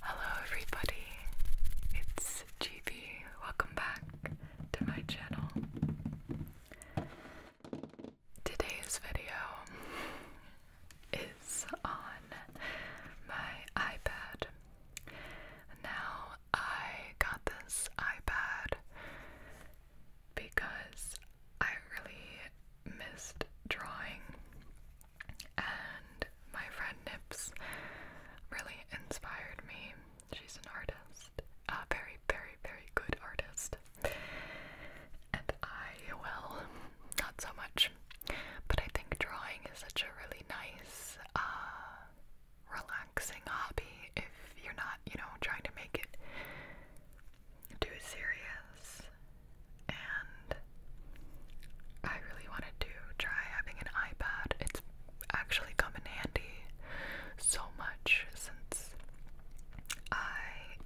Hello everybody, it's GB. Welcome back to my channel. Today's video is on my iPad. Now I got this iPad because I really missed drawing and my friend Nips really inspired me. She's an artist, a very, very, very good artist. And I, well, not so much, but I think drawing is such a really nice, uh, relaxing hobby if you're not, you know, trying to make it too serious and I really wanted to try having an iPad. It's actually come in handy so much since I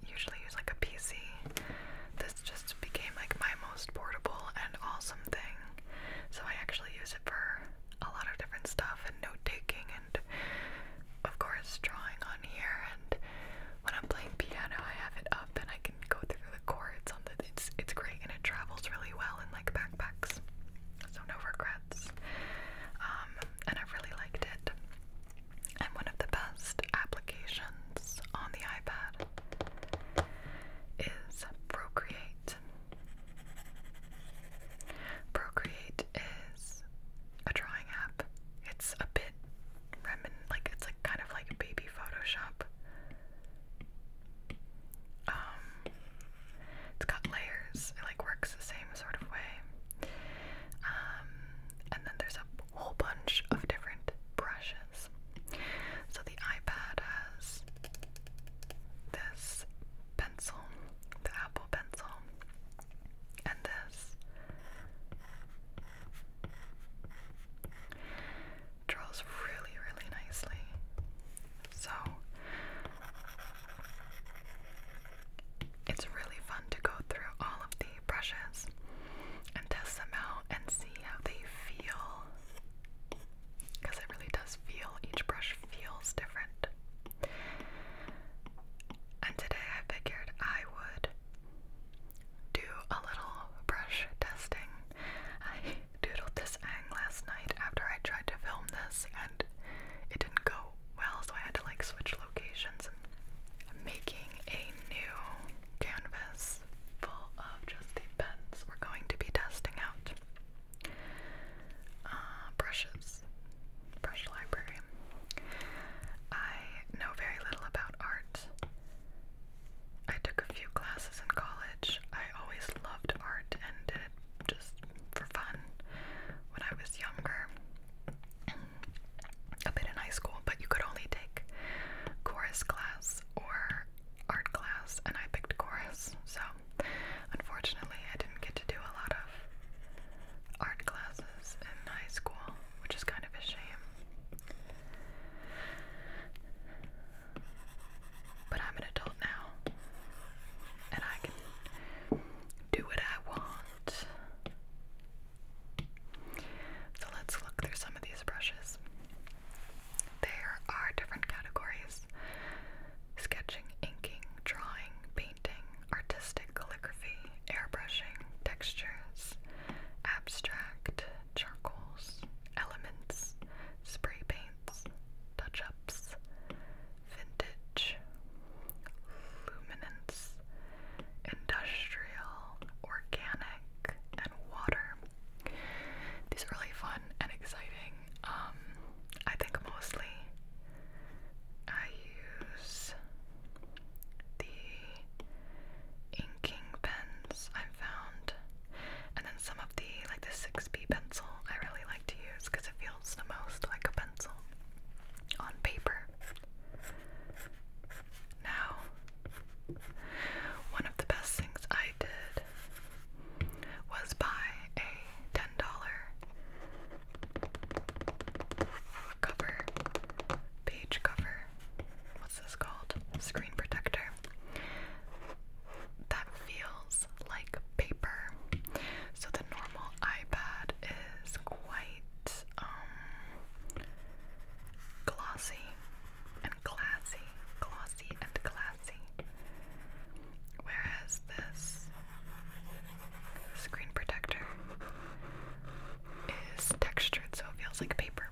usually use like a PC. This just became like my most portable and awesome thing. So I actually use it for a lot of different stuff and note taking and of course drawing on here and when I'm playing piano I have it up and I can go through the cords it's it's great and it travels really well in like backpacks. So no regrets. Um, and I really liked it. And one of the best applications on the iPad is Procreate. Procreate is a drawing app. It's a bit remin like it's like kind of like baby Photoshop, um, it's got layers. It like works the same sort of way. Um, and then there's a whole bunch of different brushes. So the iPad has this pencil, the Apple pencil, and this draws really, really nicely. So it's really fun to go through all of the brushes and test them out and see how they feel. Because it really does feel, each brush feels different. And today I figured I would do a little brush testing. I doodled this ang last night after I tried to film this and it didn't go well, so I had to like switch locations. i making a new canvas full of just the pens we're going to be testing out. Uh, brushes. Brush library. I know very little about art. I took a few classes in college. I always loved art and did just for fun when I was younger. a bit in high school, but you could only take chorus class or art class, and I picked chorus. So, unfortunately, I didn't get to do a lot of art classes in high school, which is kind of a shame. But I'm an adult now, and I can do what I want. So let's look through some of these brushes. There are different categories sketching, inking, drawing, painting, artistic calligraphy, airbrushing, textures, abstract, charcoals, elements, spray paints, touch ups, vintage, luminance, industrial, organic, and water. These are really fun and exciting. Um, I think mostly I use the inking pens I've found. And then some of the, like the 6B pencil, I really like to use because it feels the most like a pencil on paper. Now, one of the best things I did was buy a $10 cover, page cover what's this called? Screen protector. That feels like paper. So the normal iPad is quite um, glossy and classy, glossy and classy. Whereas this screen protector is textured so it feels like paper.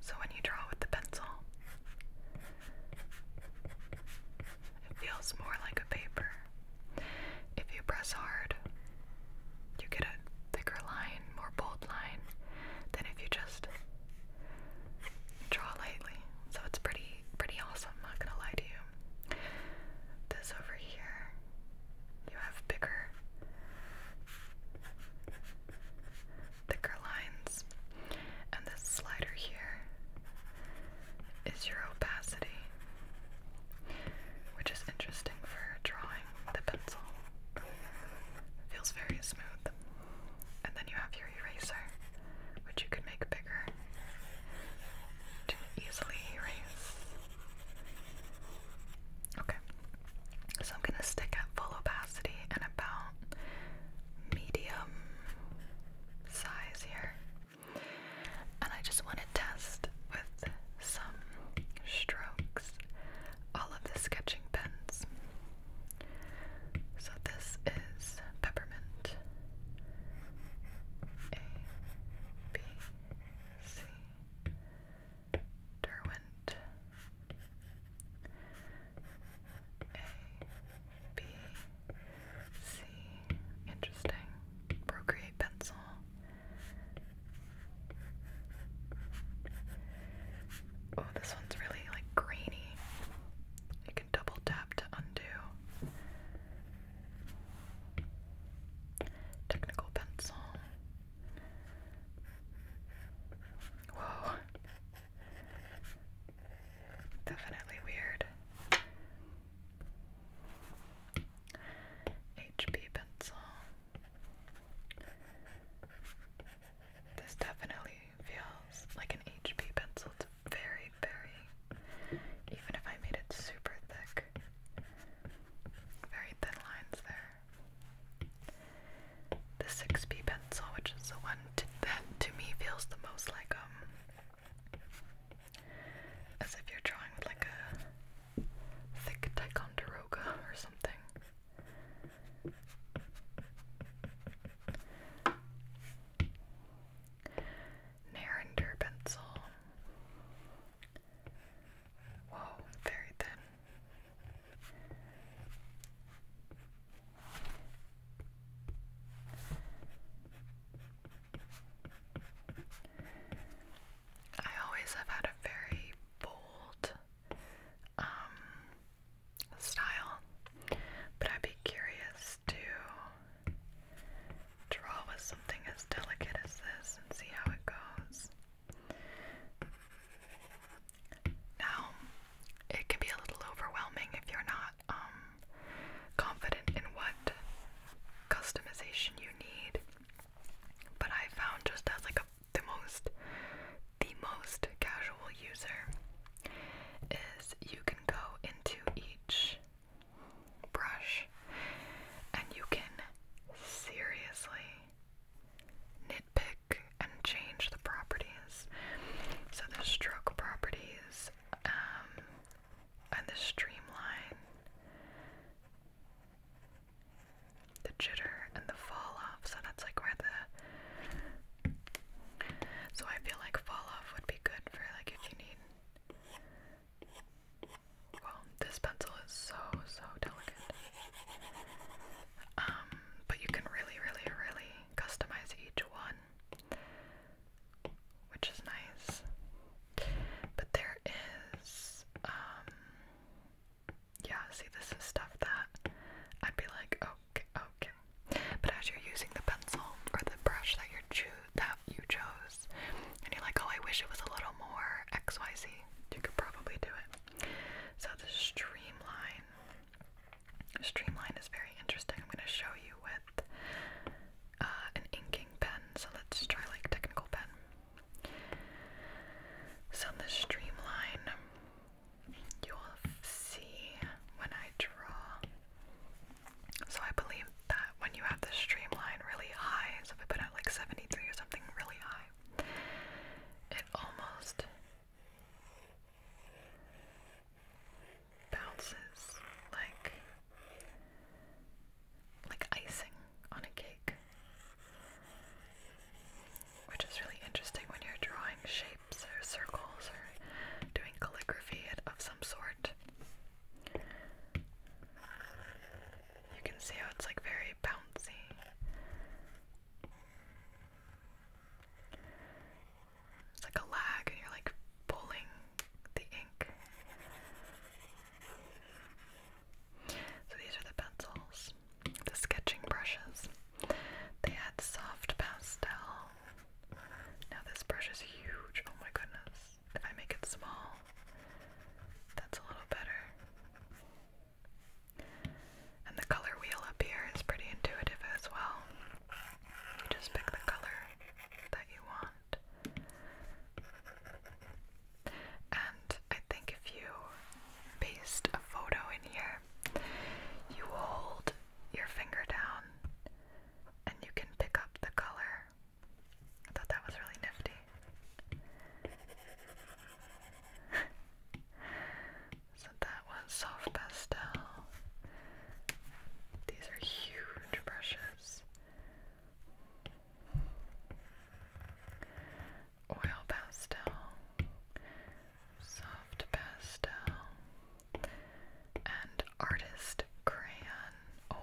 So when you draw with the pencil, it feels more like a paper. If you press hard, you get a thicker line, more bold line, than if you just draw lightly. So it's pretty pretty awesome, not gonna lie to you. This over here, you have bigger thicker lines. And this slider here is your opacity, which is interesting for drawing the pencil. Feels very smooth. And then you have your eraser, which you can make bigger to easily erase. Okay. So I'm gonna stick at full opacity and about medium size here. And I just want to test with some strokes all of the sketching pens. So this is Peppermint A B C Derwent A B C interesting procreate pencil Oh this one's really like grainy you can double tap to undo technical pencil Whoa. Definitely weird. HB pencil. This definitely feels like an HP pencil. It's very, very, even if I made it super thick, very thin lines there the 6B pencil, which is the one that to me feels the most like um, as if you're drawing with like a thick Ticonderoga or something. Narrander pencil. Whoa, very thin. I always have had a very bold um, style, but I'd be curious to draw with something as delicate as this and see how it goes. Now, it can be a little overwhelming if you're not um, confident in what customization you need, but I found just as like a, the most the most casual user is you can go into each brush and you can seriously nitpick and change the properties. So the stroke properties um, and the streamline, the jitter and the fall off. So that's like where the so I feel like fall off would be good for like if you need well, this pencil is so, so delicate. Um, but you can really, really, really customize each one, which is nice. But there is, um, yeah, see, this is stuff that I'd be like, okay, okay. But as you're using the pencil or the brush that you're that you chose, and you're like, oh, I wish it was a little more X Y Z, you could probably do it. So the streamline, streamline is very interesting. I'm going to show you with uh, an inking pen. So let's try like technical pen. So the streamline, you'll see when I draw. So I believe that when you have the streamline really high, so if I put out like 73 or something really high, it almost bounces like like icing on a cake. Which is really interesting when you're drawing shapes or circles or doing calligraphy of some sort. You can see how it's like very bouncy. It's like a lag, and you're like pulling the ink. So these are the pencils, the sketching brushes. They had soft pastel. Now this brush is huge. Oh my goodness. If I make it small, that's a little better. And the color wheel up here is pretty intuitive as well. You just pick the color that you want. And I think if you paste a photo in here, you hold your finger down and you can pick up the color. I thought that was really nifty so that was soft pastel. These are huge brushes. Oil pastel, soft pastel, and artist crayon. Oh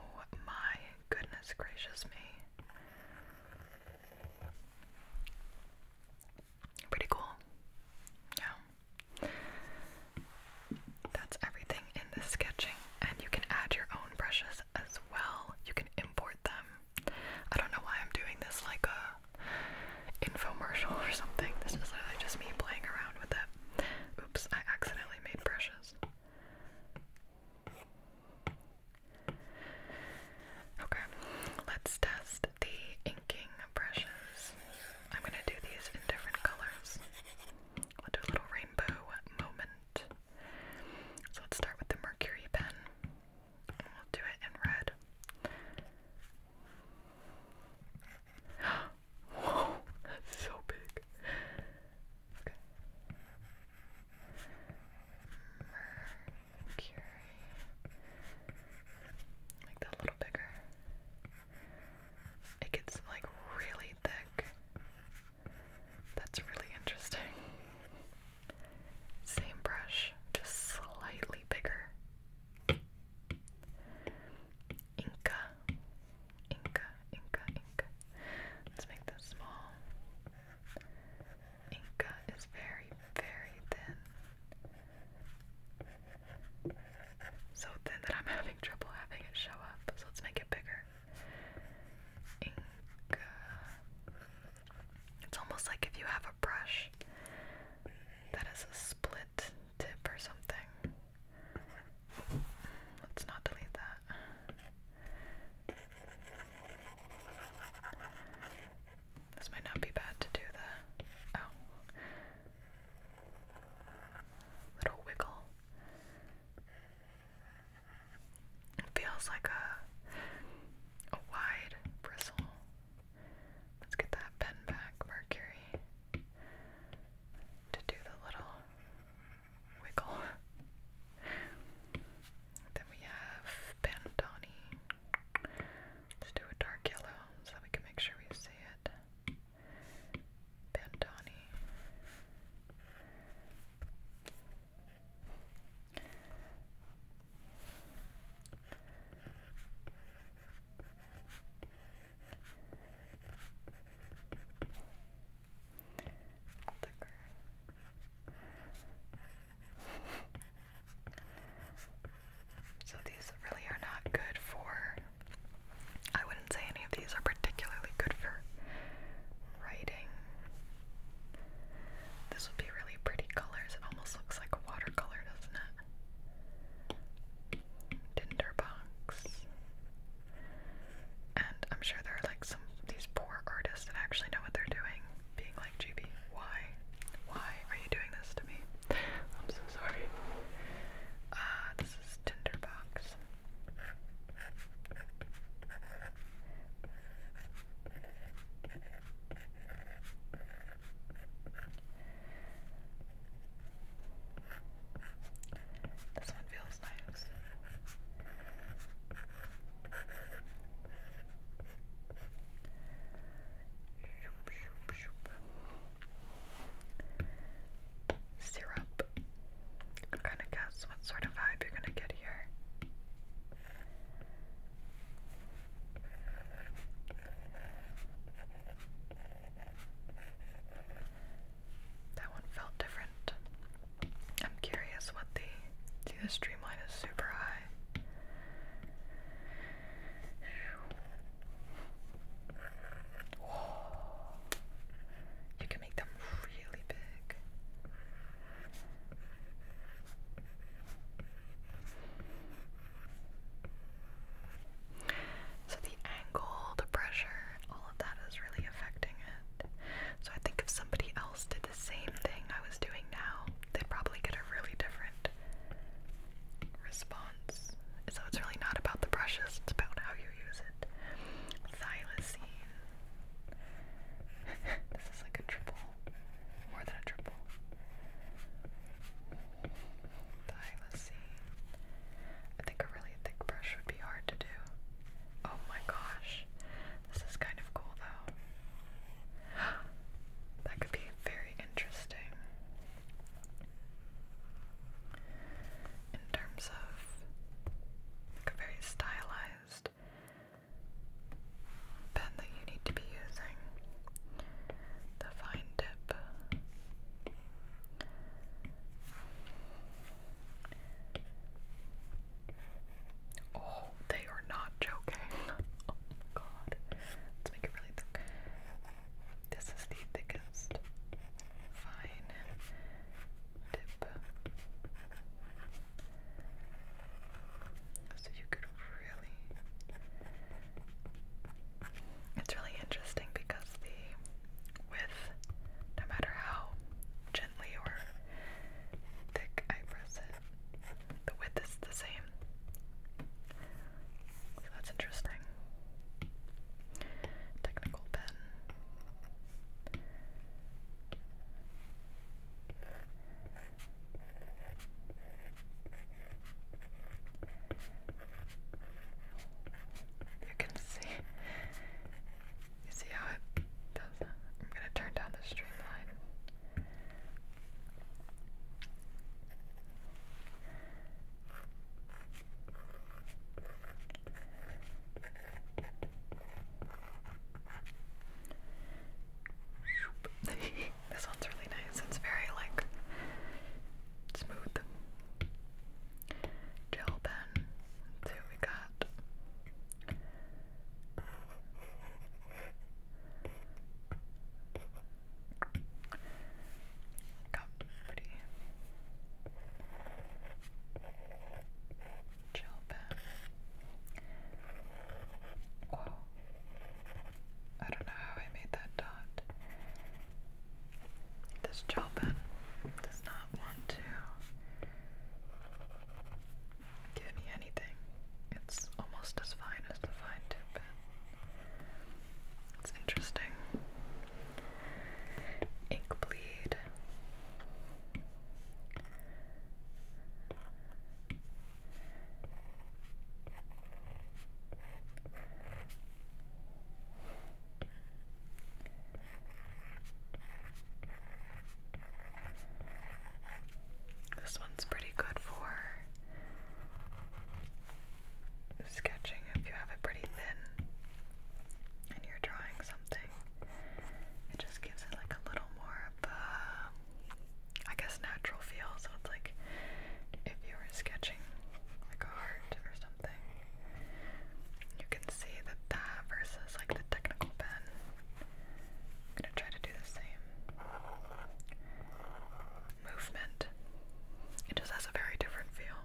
my goodness gracious me. Pretty cool. Yeah. That's everything in the sketching, and you can add your own brushes as well. You can import them. I don't know why I'm doing this like a infomercial or something. This is literally just me playing around with it. Oops, I accidentally made brushes. Okay, let's test the inking brushes. I'm gonna do these in different colors. We'll do a little rainbow moment. So let's start with the mercury pen. we'll do it in red. Whoa, that's so big. Okay. Mercury. Make that a little bigger. It gets like really thick. That's really interesting. Same brush, just slightly bigger. Inca, Inca, Inca, Inca. Let's make this small. Inca is very, very thin. So thin that I'm having trouble having it show up. So let's make it bigger. Inca. It's almost like if you have a brush that is a split tip or something. Let's not delete that. This might not be bad to do the. Oh. Little wiggle. It feels like a, a wide bristle. Let's get that pen back, Mercury, to do the little wiggle. Then we have Pandani. Let's do a dark yellow so that we can make sure we see it. Pandani. So these really are not good for. I wouldn't say any of these are particularly good for writing. This would be really pretty colors. It almost looks like watercolor, doesn't it? Tinderbox. And I'm sure there are like some of these poor artists that actually know what they're doing being like, GB, why? Why are you doing this to me? I'm so sorry. Uh, this is Tinderbox. This one feels nice. Syrup. I'm gonna guess what sort of vibe you're gonna get here. That one felt different. I'm curious what the see the streamline is super high. You can make them really big. So the angle, the pressure, all of that is really affecting it. So I think if somebody else did the same thing, I doing now, they'd probably get a really different response. So it's really not about the brushes, it's about how you use it. Xylosine. this is like a triple. More than a triple. Xylosine. I think a really thick brush would be hard to do. Oh my gosh. This is kind of cool though. that could be very interesting. In terms of like a very stylized pen that you need to be using. The fine tip. Oh, they are not joking. Oh my god. Let's make it really thick. This is the thickest fine dip. So you could really. It's really interesting because the width, no matter how or thick, I The width is the same. So that's interesting. Technical pen. You can see you see how it does that? I'm gonna turn down the streamline. this one's really nice. It's very like smooth. Gel pen. So we got Got pretty pen. Whoa. I don't know how I made that dot. This gel pen does not want to Getting anything. It's almost as fine as the fine tip. It's interesting. Ink bleed. This one's pretty good for sketching if you have a pretty thin and you're drawing something. It just gives it like a little more of a, I guess, natural feel. So it's like if you were sketching like a heart or something, you can see that that versus like the technical pen I'm gonna try to do the same movement. It just has a very different feel.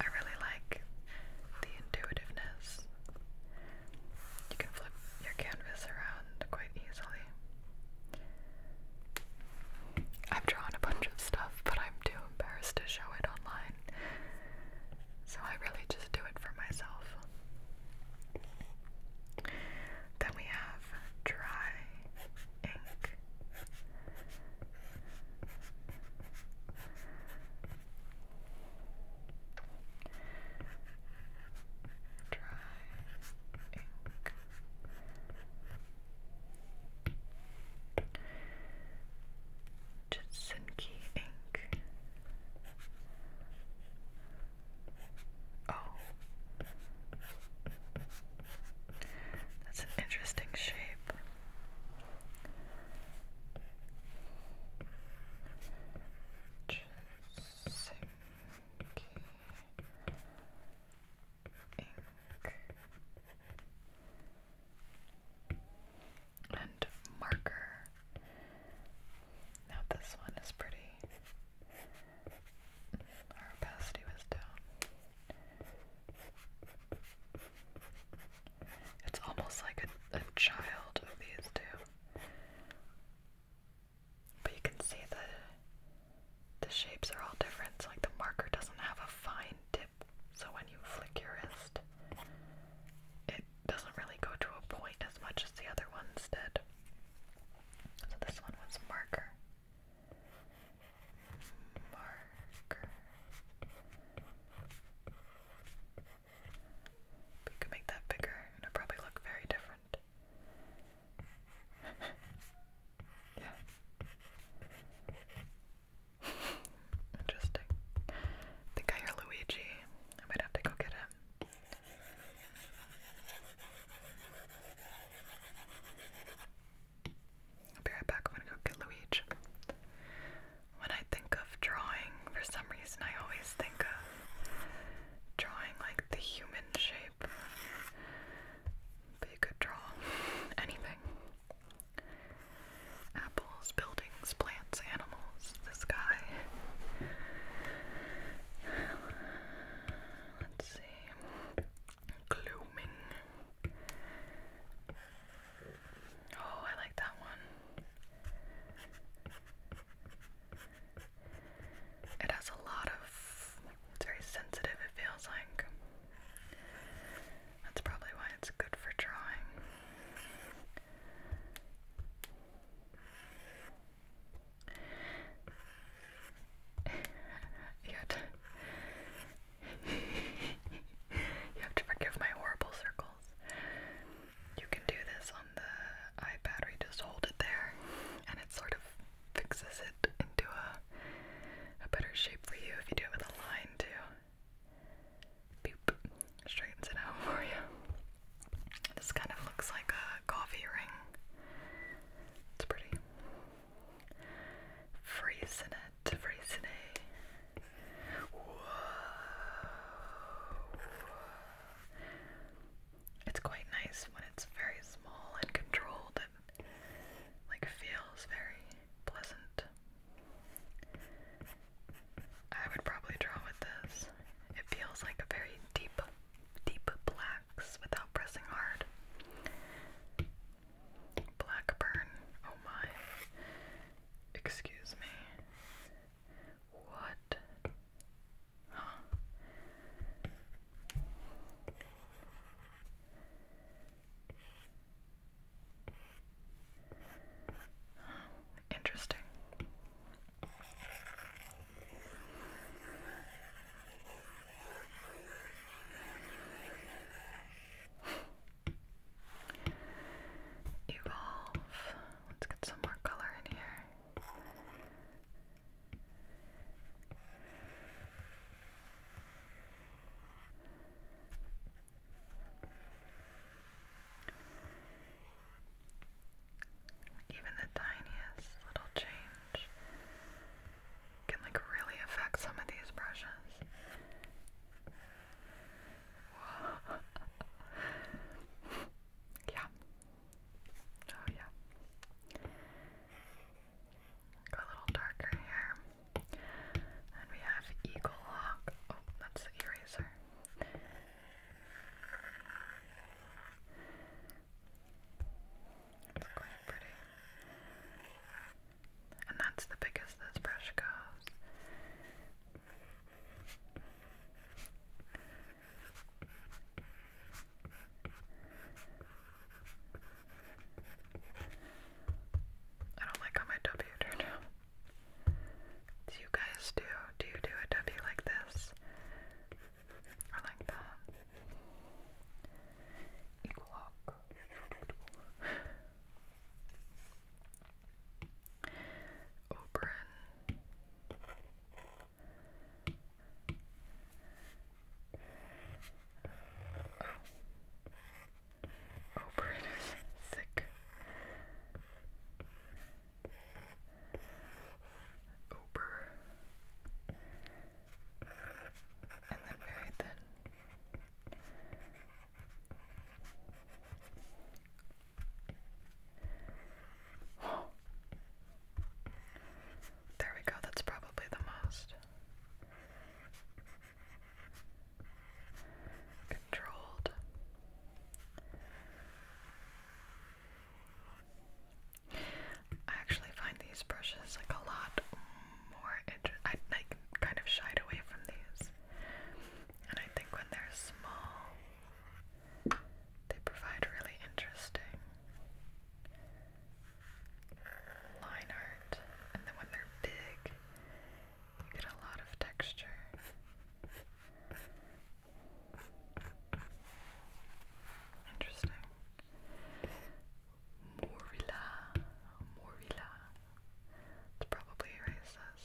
I really like the intuitiveness you can flip your canvas around quite easily. I've drawn a bunch of stuff, but I'm too embarrassed to show it online. So I really just do it for myself. Then we have dry ink. Dry ink. Jitsunki ink. Oh. That's an interesting shape and marker. Now this one is pretty. Our opacity was down. It's almost like a child of these two but you can see the the shapes are all different. So like the marker doesn't have a fine tip, so when you flick your wrist, it doesn't really go to a point as much as the other ones did. So this one was marker. Marker. But could make that bigger and it'd probably look very different. yeah. Interesting. I think I hear Luigi. I might have to go get him. I'll be right back. I'm gonna go get Luigi when I think of drawing, for some reason I always think of drawing like the human shape. But you could draw anything. Apples, buildings, plants, animals, the sky. Let's see. Glooming. Oh, I like that one. It has a lot of. It's very sensitive, it feels like. That's probably why it's good for drawing. you have to you have to forgive my horrible circles you can do this on the iPad where just hold it there and it sort of fixes it into a, a better shape for you if you do it with a line too. Straightens it out for you. This kind of looks like a coffee ring. It's pretty. Frisinet, Frisinet. It's quite nice when it's very small and controlled like feels very pleasant. I would probably draw with this. It feels like a very deep, deep blacks without pressing hard. Blackburn, oh my. Excuse me. What? Interesting. Evolve. Let's get some more color in here. Even the tiniest little change can like really affect some of these brushes. yeah. Oh, yeah. Got a little darker here. And we have Eagle Hawk. Oh, that's the eraser. It's quite pretty. And that's the biggest this brush goes. I don't like how my W turned out. Do you guys do? Do you do a W like this? Or like that? Equal lock. Oberon. Oh. Oberon is sick. Ober. And then very thin. There we go, that's probably the most. Controlled. I actually find these brushes like a lot more. I like kind of shied away from these. And I think when they're small, they provide really interesting line art. And then when they're big, you get a lot of texture. Interesting. Morilla, Morilla. It's probably erases.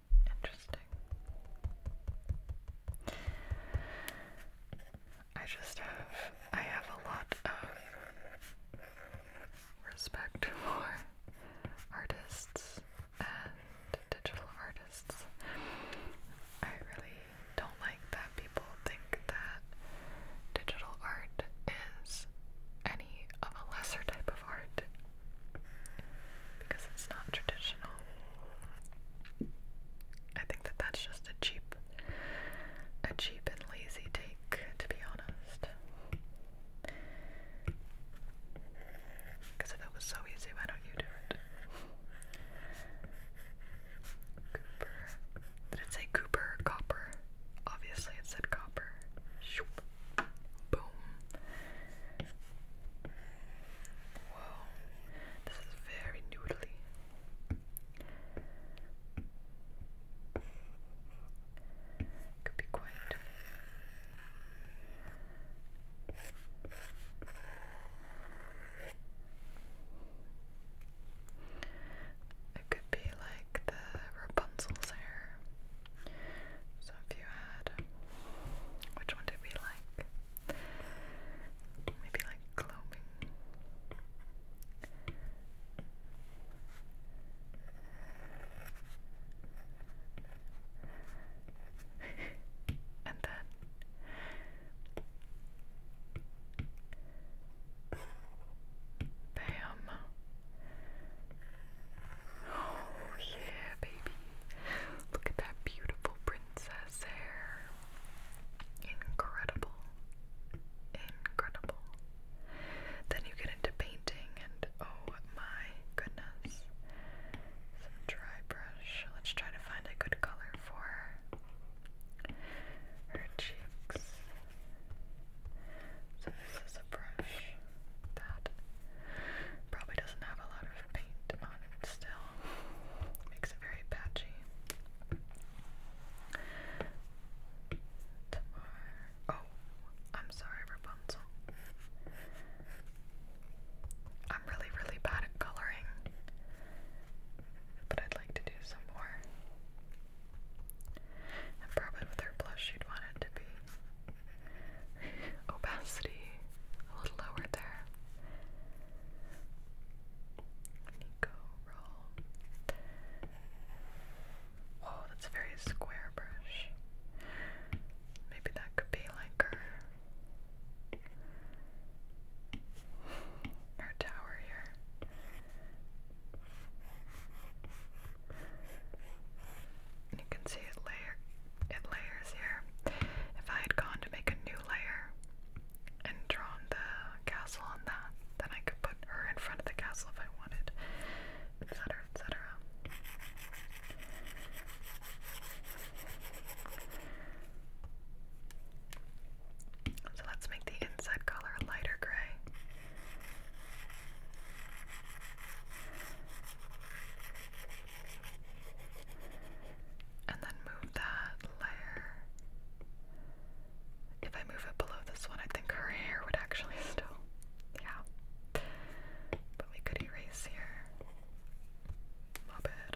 Interesting. I just have I have a lot of respect for artists and digital artists. I really don't like that people think that digital art is any of a lesser type of art because it's not traditional. I think that that's just a cheap, a cheap and lazy take, to be honest. Because it was so easy, why don't you do it? Cooper. Did it say Cooper copper? Obviously, it said copper. Boom. Whoa, this is very noodly. Could be quiet. It could be like the Rapunzel's hair. So if you had, which one did we like? Maybe like gloaming. and then Bam. Oh yeah, baby. Look at that beautiful princess hair. Incredible. Incredible. Then you get into painting, and oh my goodness. Some dry brush. Let's try to find a good color for her cheeks. So, this is a brush that probably doesn't have a lot of paint on it still. Makes it very patchy. Oh, I'm sorry, Rapunzel. I'm really, really bad at coloring, but I'd like to do some more. And probably with her blush, she'd want it to be opacity a little lower there. Whoa, oh, that's a very square brush. Maybe that could be like her, her tower here. you can see it layer in layers here. If I had gone to make a new layer and drawn the castle on that, then I could put her in front of the castle if I wanted, etc., etc. So let's make the inside color a lighter gray. And then move that layer. If I move it below this one, I think her hair would actually still. Yeah. But we could erase here. A bit.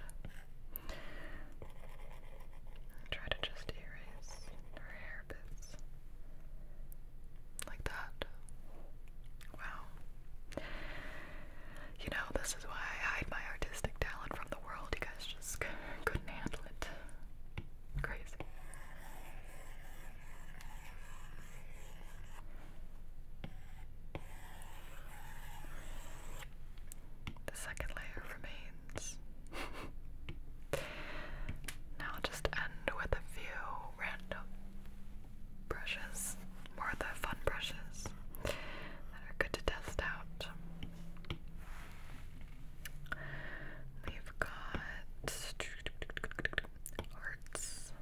try to just erase her hair bits. Like that. Wow. You know, this is why I hide my artistic talent from the world. You guys just couldn't handle it. Crazy. The second layer remains. now I'll just end with a few random brushes, more of the fun brushes that are good to test out. We've got hearts.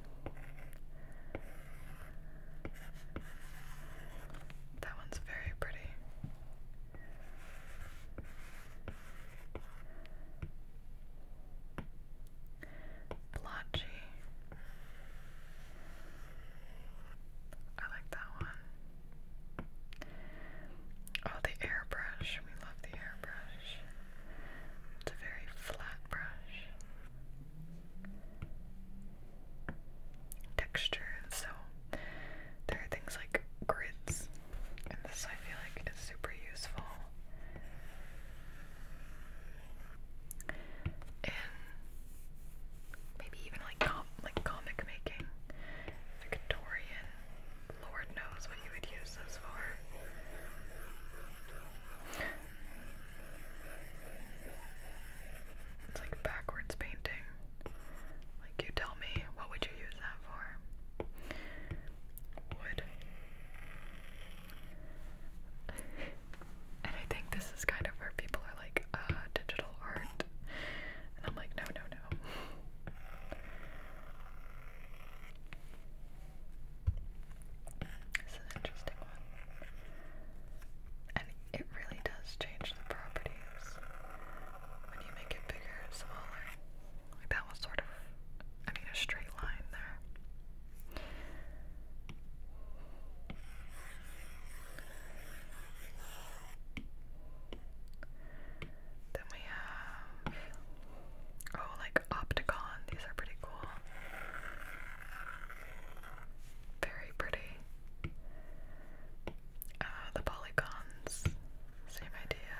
That one's very pretty. Blotchy. I like that one. Oh, the airbrush. We love the airbrush. It's a very flat brush. Texture. So there are things like grids, and this I feel like is super useful in maybe even like like comic making, Victorian. Lord knows what you would use those for. It's like backwards painting. Like you tell me, what would you use that for? Wood and I think this is kind of where people are like, uh, digital art. And I'm like, no, no, no. This an interesting one. And it really does change the properties when you make it bigger, smaller. Like that was sort of, I mean, a straight line there. Then we have oh, like Opticon. These are pretty cool. Very pretty. Uh, the polygons, same idea.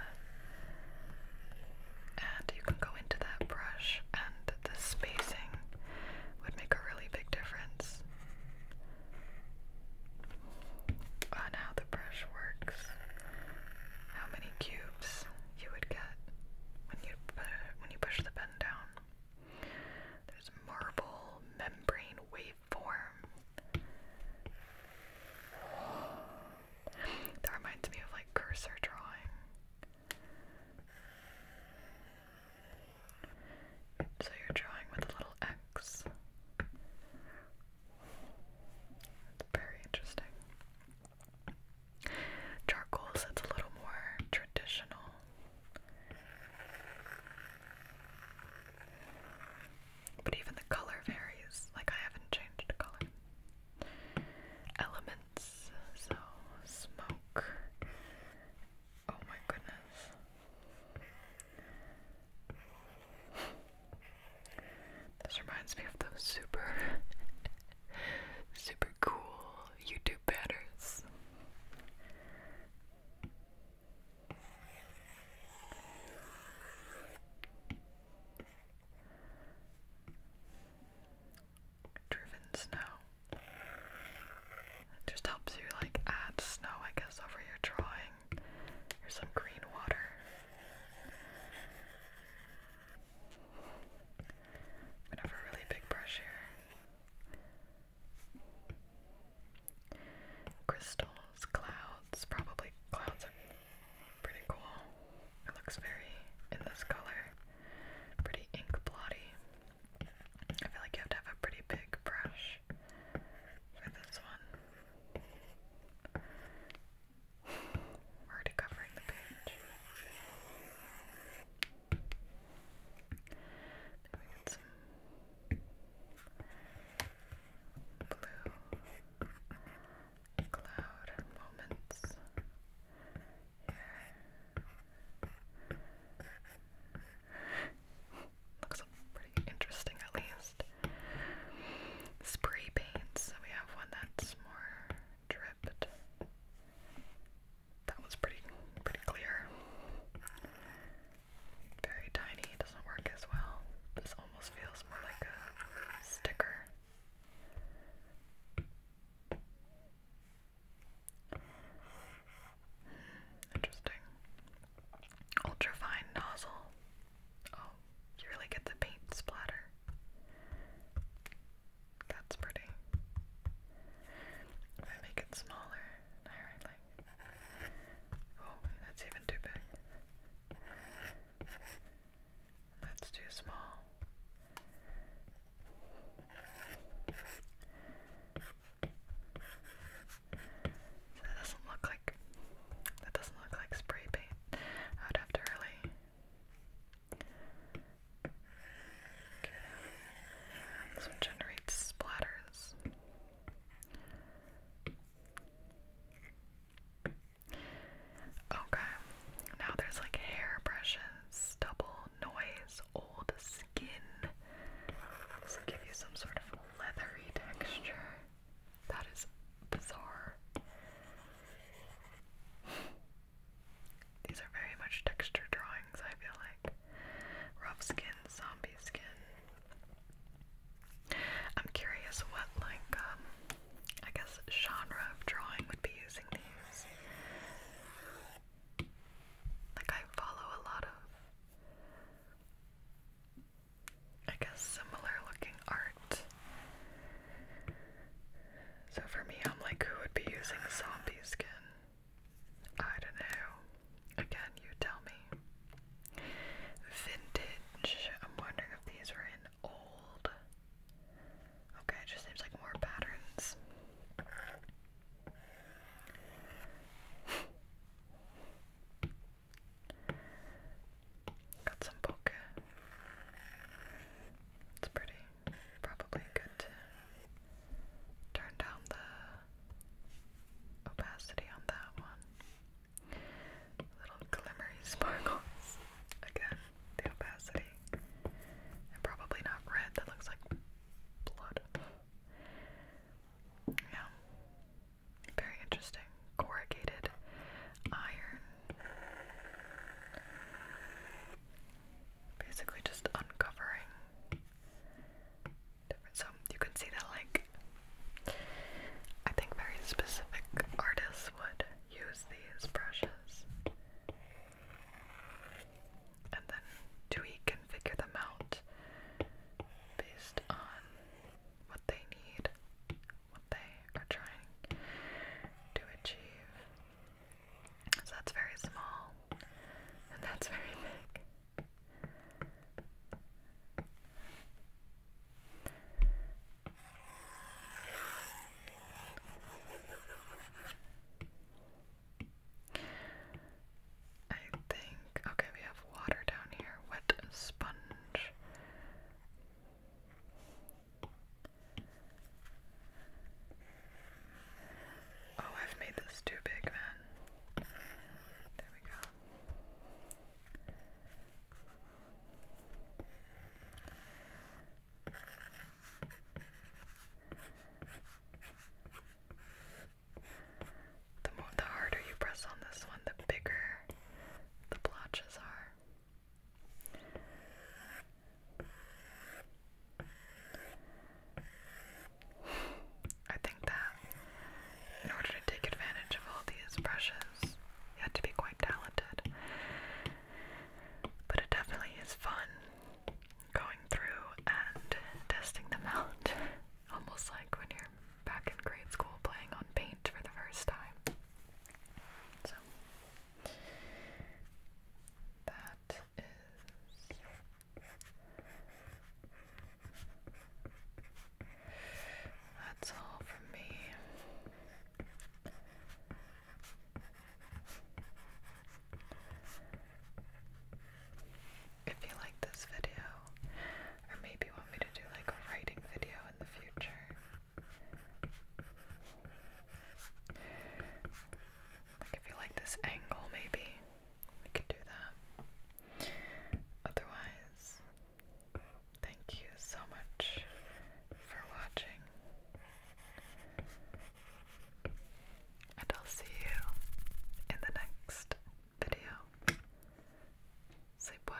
And you can go into that brush and the spacing would make a really big difference on how the brush works, how many cubes you would get when you when you push the pen down. There's marble membrane waveform. That reminds me of like cursor drawing. So you're drawing with a little X. It's very interesting. Charcoal sets a little more traditional. But even the color varies. Like I haven't changed color. Elements so, smoke. Oh my goodness. This reminds me of those super, super cool YouTube batters driven snow. just helps you like add snow, I guess, over your drawing. Here's some green water. I'm gonna have a really big brush here. Crystals, clouds, probably clouds are pretty cool. It looks very in this color. Pretty ink blotty. I feel like you have to have a pretty big brush for this one. already covering the page. blue cloud moments. Looks pretty interesting, at least. Spray paint, we have one that's more dripped. That was pretty, pretty clear. Very tiny, doesn't work as well. This almost feels more like a sticker. Interesting. Ultrafine nozzle. Oh, you really get the paint splatter. That's pretty. If I make it smaller, alright, Oh, that's even too big. That's too small that doesn't look like that doesn't look like spray paint. I'd have to really This one generates splatters. Okay, now there's like hair brushes, double noise, old skin. give you some sort of leathery texture. That is bizarre. These are very much texture drawings, I feel like. Rough skin, zombie skin. I'm curious what, like, um, I guess genre of drawing would be using these. Like, I follow a lot of, I guess, similar looking art. So for me, I'm like, who would be using zombie skin? I don't know. Again, you tell me. Vintage. I'm wondering if these were in old Okay, just seems like more patterns. Got some poke. It's pretty. Probably good to turn down the opacity on that one. Little glimmery sparkles again the opacity. And probably not red, that looks like blood. Yeah. Very interesting. Corrugated iron. Basically just uncovering so you can see that like I think very specific artists would use these brushes and then tweak and figure them out based on what they need, what they are trying to achieve. So that's very small, and that's very big. I think, okay, we have water down here. Wet sponge. Oh, I've made this too big, man. There we go. The more the harder you press on this one, the bigger the blotches are. I think that in order to take advantage of all these brushes, you had to be quite talented. But it definitely is fun going through and testing them out. Almost like when you're back in grade school playing on paint for the first time. So, that is. That's all from me. If you like this video, or maybe want me to do like a writing video in the future, like if you like this angle, maybe we could do that. Otherwise, thank you so much for watching. And I'll see you in the next video. Sleep well.